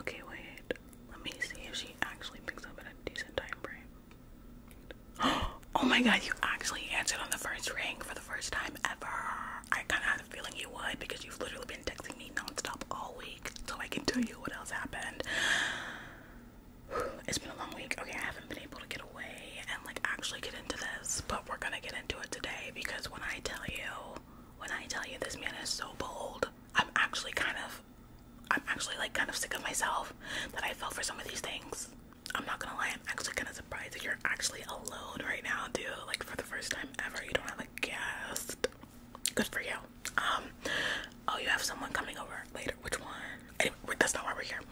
Okay, wait. Let me see if she actually picks up at a decent time frame. Oh my god, you actually answered on the first ring for the first time ever. I kind of had a feeling you would because you've literally been texting me nonstop all week, so I can tell you what else happened. It's been a long week. Okay, I haven't been able to get away and like actually get into this, but we're gonna get into it today because when I tell you, when I tell you, this man is so bold. I'm actually kind of I'm actually like kind of sick of myself that I fell for some of these things. I'm not gonna lie, I'm actually kinda surprised that you're actually alone right now, dude. Like for the first time ever, you don't have a guest. Good for you. Um oh you have someone coming over later. Which one? Anyway, that's not why we're here.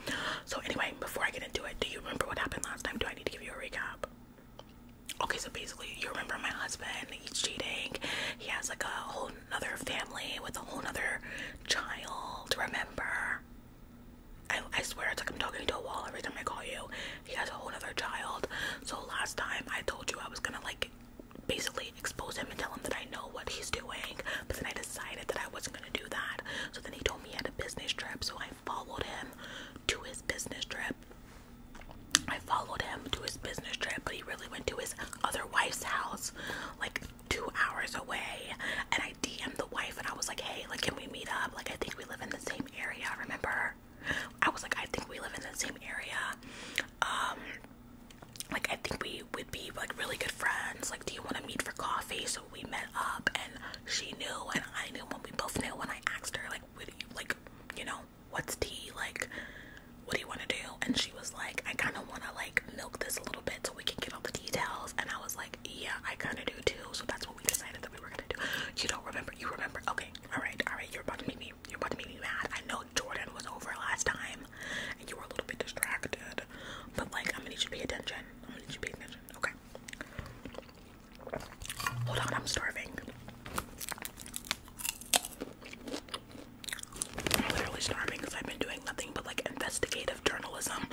So anyway, before I get into it, do you remember what happened last time? Do I need to give you a recap? Okay, so basically, you remember my husband, he's cheating. He has like a whole other family with a whole other child. Remember? I, swear it's like I'm talking to a wall every time I call you. He has a whole other child. So last time I told you I was gonna like basically expose him and tell him that I know what he's doing, but then I decided that I wasn't gonna do that. So then he told me he had a business trip, so I followed him to his business trip. I followed him to his business trip, but he really went to his other wife's house, like two hours away. And I DM'd the wife and I was like, hey, like, can we meet up? Like, I think we live in the same area, remember? I was like, I think we live in the same area. Um, like, I think we would be like really good friends. Like, do you want to meet for coffee? So we met up and she knew and I knew when we both knew when I asked her, like, would you, like, you know, what's tea? Like, what do you want to do? And she was like, I kind of want to like milk this a little bit so we can get all the details. And I was like, yeah, I kind of do too. So that's what we decided that we were going to do. You don't remember? You remember? Okay. All right. All right. You're about to make me, you're about to make me mad. I know Jordan was over last time and you were a little bit distracted, but like, I'm going to need you to pay attention. I'm going to need you to pay attention. Okay. Hold on, I'm starving. I'm literally starving because I've been doing nothing but like investigative journalism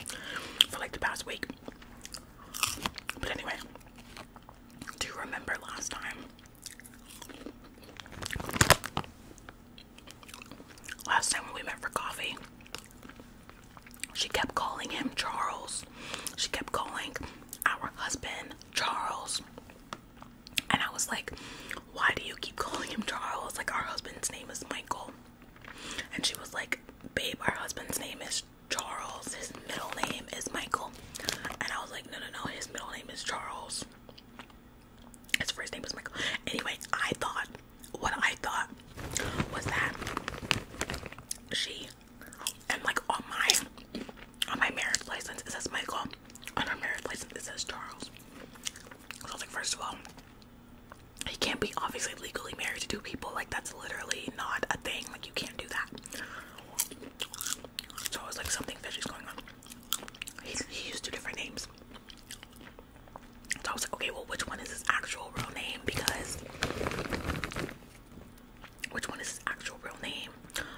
for like the past week. But anyway, do you remember last time? Last time when we met for coffee, she kept calling him Charles. She kept calling our husband Charles. And I was like, why do you keep calling him Charles? Like, our husband's name is Michael. And she was like, babe, our husband's name is Charles. His middle name is Michael. And I was like, no, no, no, his middle name is Charles. His first name is Michael. Anyway, I thought, what I thought was that she and like on my on my marriage license it says Michael, on her marriage license it says Charles. So I was like, first of all, he can't be obviously legally married to two people. Like that's literally not a thing. Like you can't do that. So I was like, something fishy's going on. He, he used two different names. So I was like, okay, well, which one is his actual real name? Because which one is his actual real name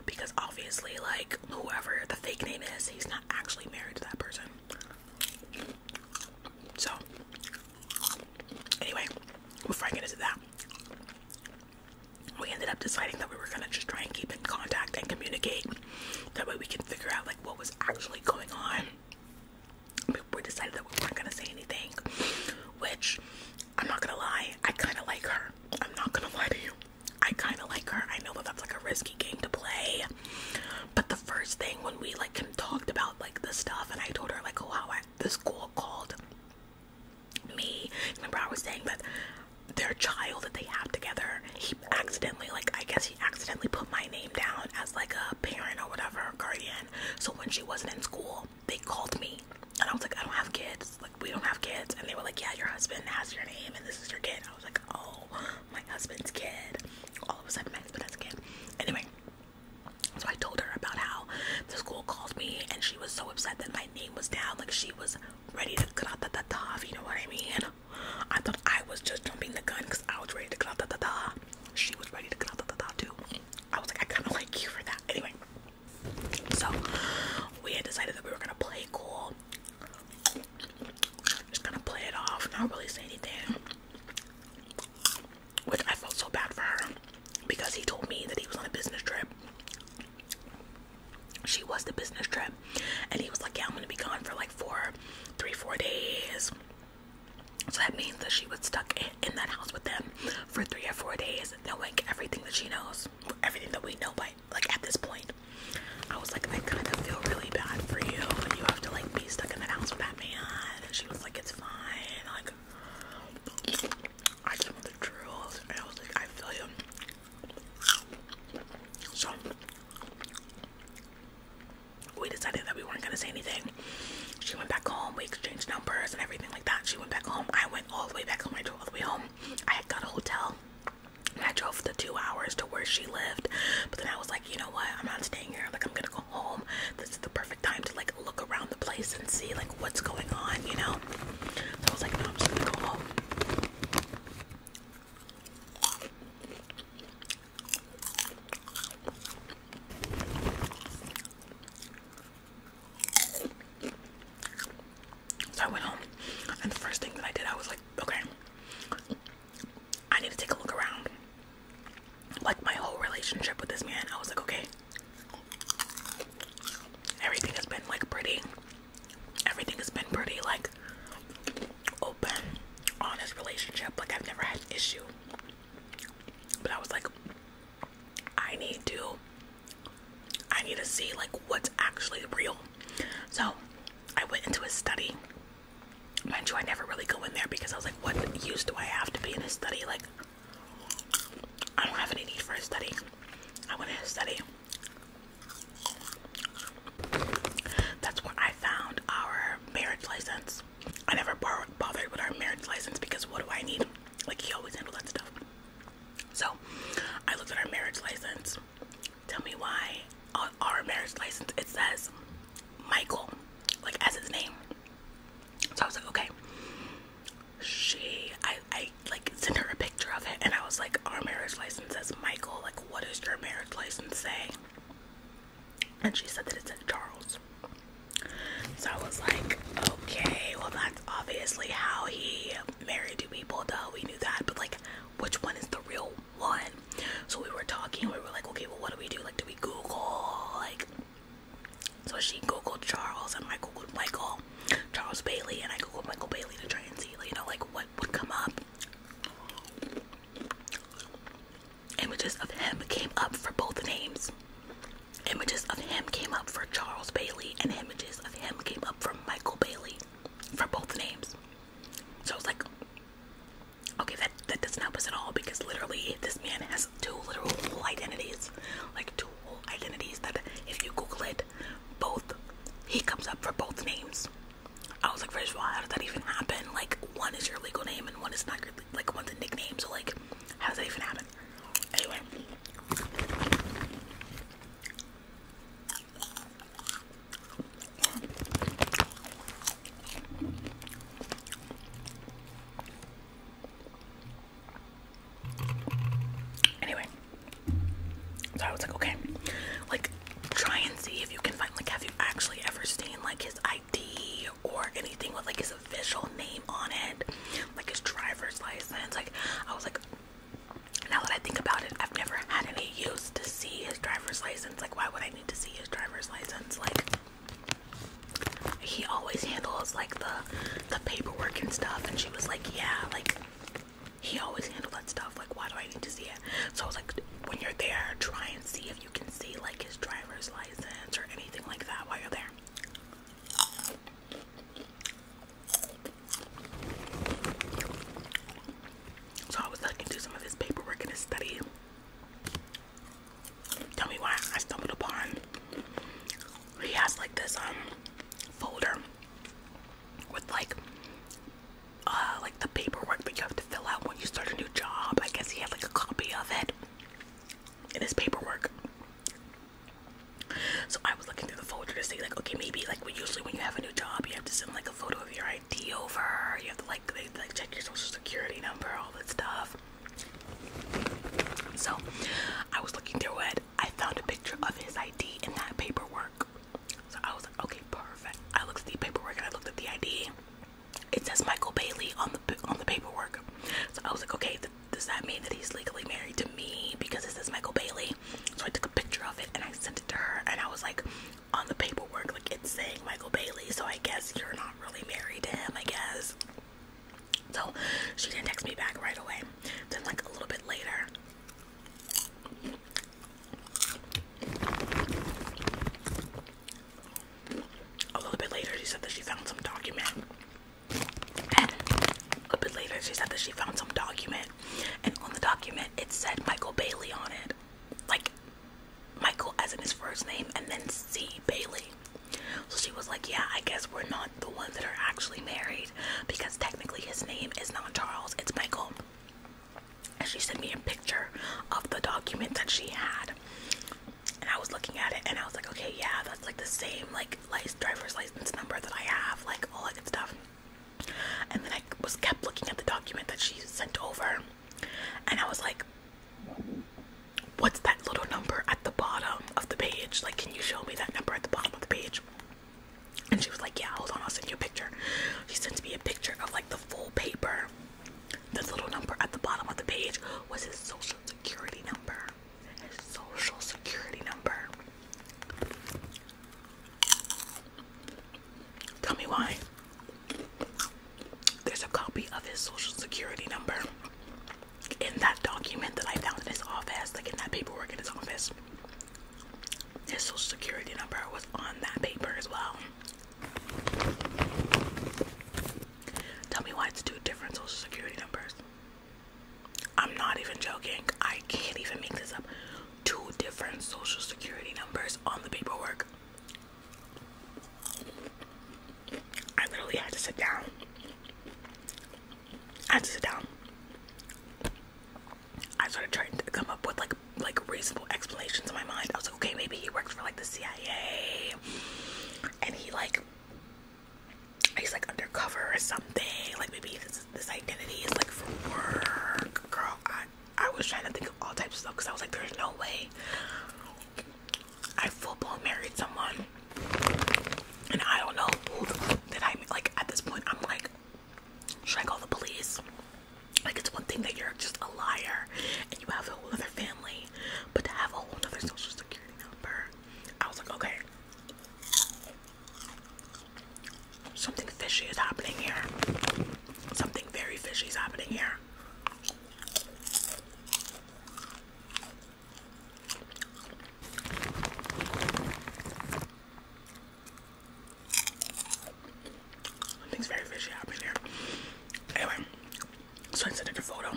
because obviously like whoever the fake name is he's not actually married to that person so anyway before i get into that we ended up deciding that we were gonna just try and keep in contact and communicate that way we can figure out like what was actually going on we decided that we weren't gonna say anything which I'm not gonna lie, I kind of like her. I'm not gonna lie to you. I kind of like her. I know that that's like a risky game to play, but the first thing when we like talked about like the stuff, and I told her like, oh wow, I, this girl called me. Remember, I was saying that their child that they have together, he accidentally like I guess he accidentally put my name down as like a parent or whatever guardian. So when she wasn't in school, they called me and I was like I don't have kids like we don't have kids and they were like yeah your husband has your name and this is your kid I was like oh my husband's kid all of a sudden my husband a kid anyway so I told her about how the school called me and she was so upset that my name was down like she was ready to cut da da da you know what I mean I thought I was just jumping the gun because I was ready to cut da da da she was ready to cut da da da too I was like, I kind of like you for that. Anyway, so we had decided that we were gonna play cool, just gonna play it off, not really say anything. Which I felt so bad for her because he told me that he was on a business trip. She was the business trip, and he was like, "Yeah, I'm gonna be gone for like four, three, four days." So that means that she was stuck in, that house with them for three or four days, knowing everything that she knows, everything that we know by like at this point. I was like, I kind of feel really bad for you. and You have to like be stuck in that house with that man. And she was like, it's fine. Like, I just want the truth. And I was like, I feel you. So we decided that we weren't gonna say anything. She went back home. We exchanged numbers and everything like that. She went back home. I went all the way back home. I drove all the way home. I had got a hotel. And I drove the two hours to where she lived. But then I was like, you know what? I'm not staying here. Like, I'm gonna go home. This is the perfect time to like look around the place and see like what's going on, you know? So I was like, no, I'm just gonna go home. So I went home, and the first thing that I did, I was like, okay, I need to take a look around. Like my whole relationship with this man, I was like, okay, everything has been like pretty, everything has been pretty, like open, honest relationship. Like, I've never had issue. But I was like, I need to, I need to see like what's actually real. So I went into a study. Mind you, I never really go in there because I was like, what use do I have to be in a study? Like, I don't have any need for a study. I went in a study. That's where I found our marriage license. I never bothered with our marriage license because what do I need? Like, he always handled that stuff. So, I looked at our marriage license. Tell me why on our marriage license it says Michael, like as his name. So I was like, okay. She, I, I like sent her a picture of it, and I was like, our marriage license says Michael. Like, what does your marriage license say? and she said that it's in Charles. So I was like, okay, well, that's obviously how he married two people, duh, we knew that, but like, which one is the real one? So we were talking, we were like, okay, well, what do we do? Like, do we Google? Like, so she Googled Charles and I Michael, Charles Bailey, and I Googled Michael Bailey to try and see, like, you know, like what would come up. Images of him came up for both names. Images of him came up for Charles Bailey, and images of him came up for Michael Bailey for both names. So I was like, okay, that, that doesn't help us at all because literally this man has two literal identities. Like two identities that if you Google it, both, he comes up for both names. I was like, first of all, how does that even happen? Like, one is your legal name and one is not like one's a nickname, so like how does that even happen? Anyway. so I was like, okay, like try and see if you can find have you actually ever seen like his ID or anything with like his official name on it, like his driver's license. Like I was like, now that I think about it, I've never had any use to see his driver's license. Like why would I need to see his driver's license? Like he always handles like the the paperwork and stuff. And she was like, yeah, like he always handled that stuff. Like why do I need to see it? So I was like, when you're there, try and see if you can see like his driver's license or anything like that while you're there. So I was looking through some of his paperwork in his study. Tell me why I stumbled upon. He has like this um folder with like uh the paperwork that you have to fill out when you start a new job. I guess he had like a copy of it in his paperwork. So I was looking through the folder to see like, okay, maybe like well, usually when you have a new job, you have to send like a photo of your ID over. You have to like they like check your social security number, all that stuff. So I was looking through it. I found a picture of his ID in that paperwork. So I was like, okay, perfect. I looked at the paperwork and I looked at the ID it says Michael Bailey on the on the paperwork. So I was like, okay, does that mean that he's legally married to me because it says Michael Bailey? So I took a picture of it and I sent it to her, and I was like, on the paperwork, like it's saying Michael Bailey. So I guess you're not really married to him. I guess. So she didn't text me back right away. Then like a little bit later. A little bit later, she said that she found some document. And a bit later, she said that she found some document. And on the document, it said Michael Bailey on it. Like, Michael as in his first name, and then C. Bailey. So she was like, Yeah, I guess we're not the ones that are actually married because technically his name is not Charles, it's Michael and she sent me a picture of the document that she had and I was looking at it and I was like okay yeah that's like the same like license driver's license number that I have like all that good stuff and then I was kept looking at the document that she sent over and I was like what's that little number at the bottom of the page like can you show me that number at the bottom of the page and she was like yeah hold on I'll send you a picture she sent me a picture of like the full paper the little number at the bottom of the page was his social security number. His social security number. Tell me why. There's a copy of his social security number in that document that I found in his office, like in that paperwork in his office. His social security number was on that paper as well. Tell me why it's two different social security numbers. I'm not even joking. I can't even make this up. Two different social security numbers on the paperwork. I literally had to sit down. I had to sit down. I started trying to come up with like like reasonable explanations in my mind. I was like, okay, maybe he works for like the CIA, and he like he's like undercover or something. Like maybe this this identity is like for work, girl. I I was trying to think of all types of stuff because I was like, there's no way I full blown married someone, and I don't know who that I like at this point. I'm like, should I call the police? Like, it's one thing that you're just a liar and you have a whole other family, but to have a whole other social security number, I was like, okay, something fishy is happening here. Something very fishy is happening here. Things very fishy happening here. Anyway, so I sent her the photo.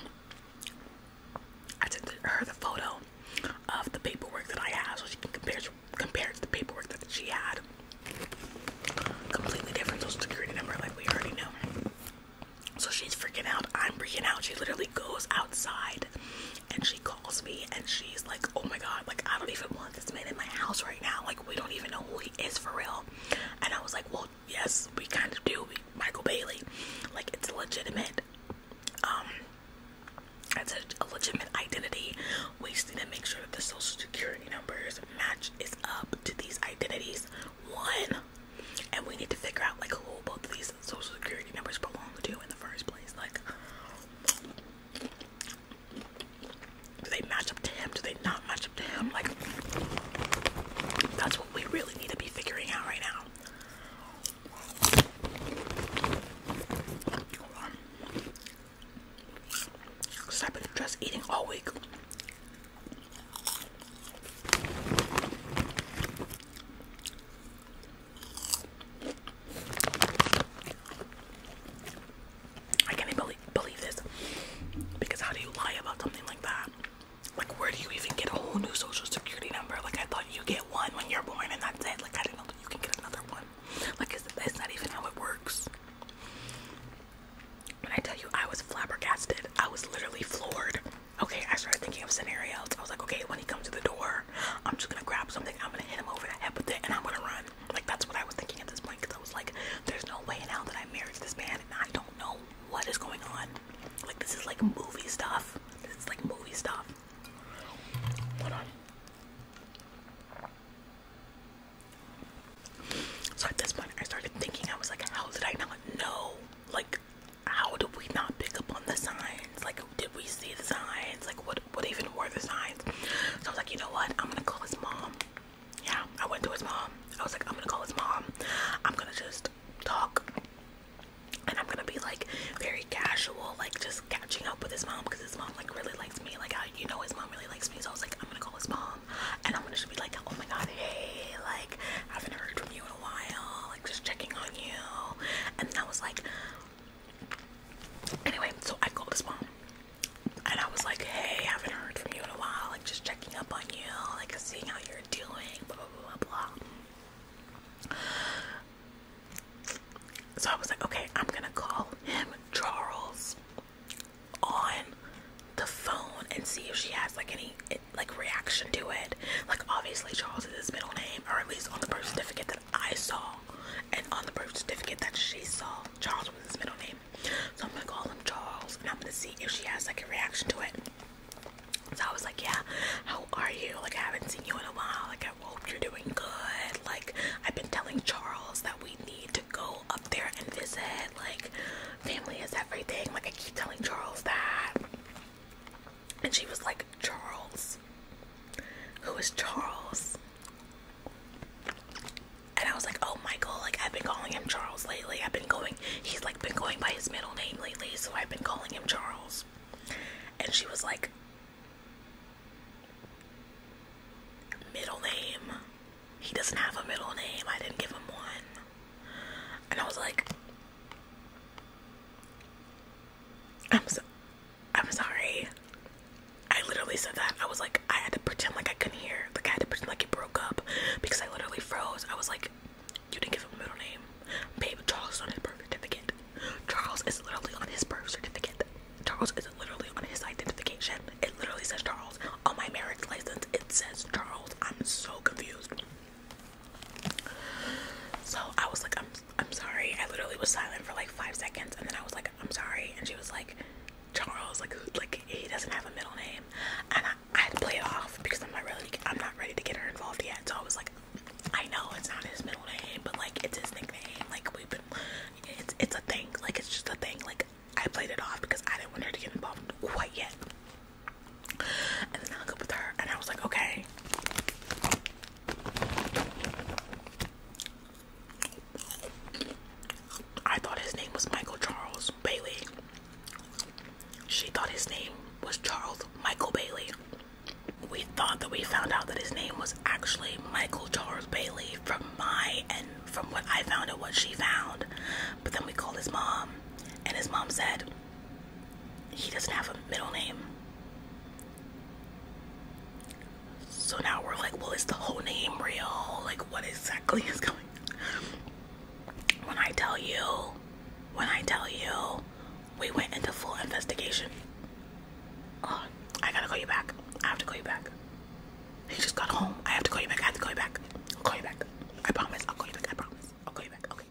I sent her the photo of the paperwork that I have so she can compare compare to the paperwork that she had. Completely different social security number like we already know. So she's freaking out. I'm freaking out. She literally goes outside and she calls me and she's like, oh my god, like I don't even want this man in my house right now. Like we don't even know who he is for real and i was like well yes we kind of do michael bailey like it's legitimate um it's a, legitimate identity we just need to make sure that the social security numbers match is up to these identities one and we need to figure out like who both these social security numbers belong to in the first place like do they match up to him? Do they not match up to him? Like, that's what we really need to be figuring out right now. Because I've been just eating all week. I can't even believe, believe this because how do you lie about something like that? Like, where do you even get a whole new social security number? Like, I thought you get one when you're born and that's it. Like, I didn't know that you can get another one. Like, it's, it's even how it works. When I tell you, I was flabbergasted, I was literally floored. Okay, I started thinking of scenarios. I was like, okay, when he comes to the door, I'm just gonna grab something, I'm gonna hit him over the head with it, and I'm gonna run. Like that's what I was thinking at this point because I was like, there's no way now that i married this man and I don't know what is going on. Like this is like movie stuff. It's like movie stuff. Hold at this point, I started thinking. I was like, how did I not know? Like, how did we not pick up on the signs? Like, did we see the signs? Like, what child would even wear the signs. So I was like, you know what? I'm gonna call his mom. Yeah, I went to his mom. I was like, I'm gonna call his mom. I'm gonna just talk and I'm gonna be like very casual, like just catching up with his mom because his mom like really likes me. Like, I, you know, his mom really likes me. So I was like, I'm gonna call his mom and I'm gonna just be like, oh my god, hey, like, I haven't heard from you in a while, like, just checking on you. And then I was like, Anyway, so I called his mom and I was like, hey, I haven't heard from you in a while. Like, just checking up on you, like, seeing how you're doing, blah, blah, blah, blah. So I was like, okay, I'm gonna call him Charles on the phone and see if she has like any like reaction to it. Like obviously Charles is his middle name, or at least on the birth certificate that I saw and on the birth certificate that she saw, Charles was his middle name. So I'm gonna call him Charles and I'm gonna see if she has like a reaction to it. So I was like, Yeah, how are you? Like, I haven't seen you in a while. Like, I hope you're doing good. Like, I've been telling Charles that we need to go up there and visit. Like, family is everything. Like, I keep telling Charles that. And she was like, Charles. Who is Charles? And I was like, oh Michael, like I've been calling him Charles lately. I've been going, he's like been going by his middle name lately, so I've been calling him Charles. And she was like, middle name? He doesn't have a middle name. I didn't give him one. And I was like, I'm so, I'm sorry. I literally said that. I was like, I had to pretend like I couldn't hear. Like I had to pretend like it broke up because I literally froze. I was like, you didn't give him a middle name. Babe, Charles on his birth certificate. Charles is literally on his birth certificate. Charles is literally on his identification. It literally says Charles. On my marriage license, it says Charles. I'm so confused. So I was like, I'm I'm sorry. I literally was silent for like five seconds and then I was like, I'm sorry. And she was like, Charles, like, like he doesn't have a middle name. And I, had to play it off because I'm not really, I'm not ready to get her involved yet. So I was like, I know it's not his middle name, but like it's his nickname. Like we've been, it's, it's a thing. Like it's just a thing. Like I played it off because I didn't want her to get involved quite yet. And then I hung up with her and I was like, okay. I thought his name was Michael Charles Bailey. She thought his name was Charles Michael Bailey. We thought that we found out that his name was actually Michael Charles Bailey from my and from what I found and what she found. But then we called his mom, and his mom said he doesn't have a middle name. So now we're like, well, is the whole name real? Like, what exactly is going When I tell you, when I tell you, we went into full investigation. Oh, I gotta call you back. I have to call you back. He just got home. I have to call you back. I have to call you back. call you back. I promise. I'll call you back. I promise. I'll call you back. Okay.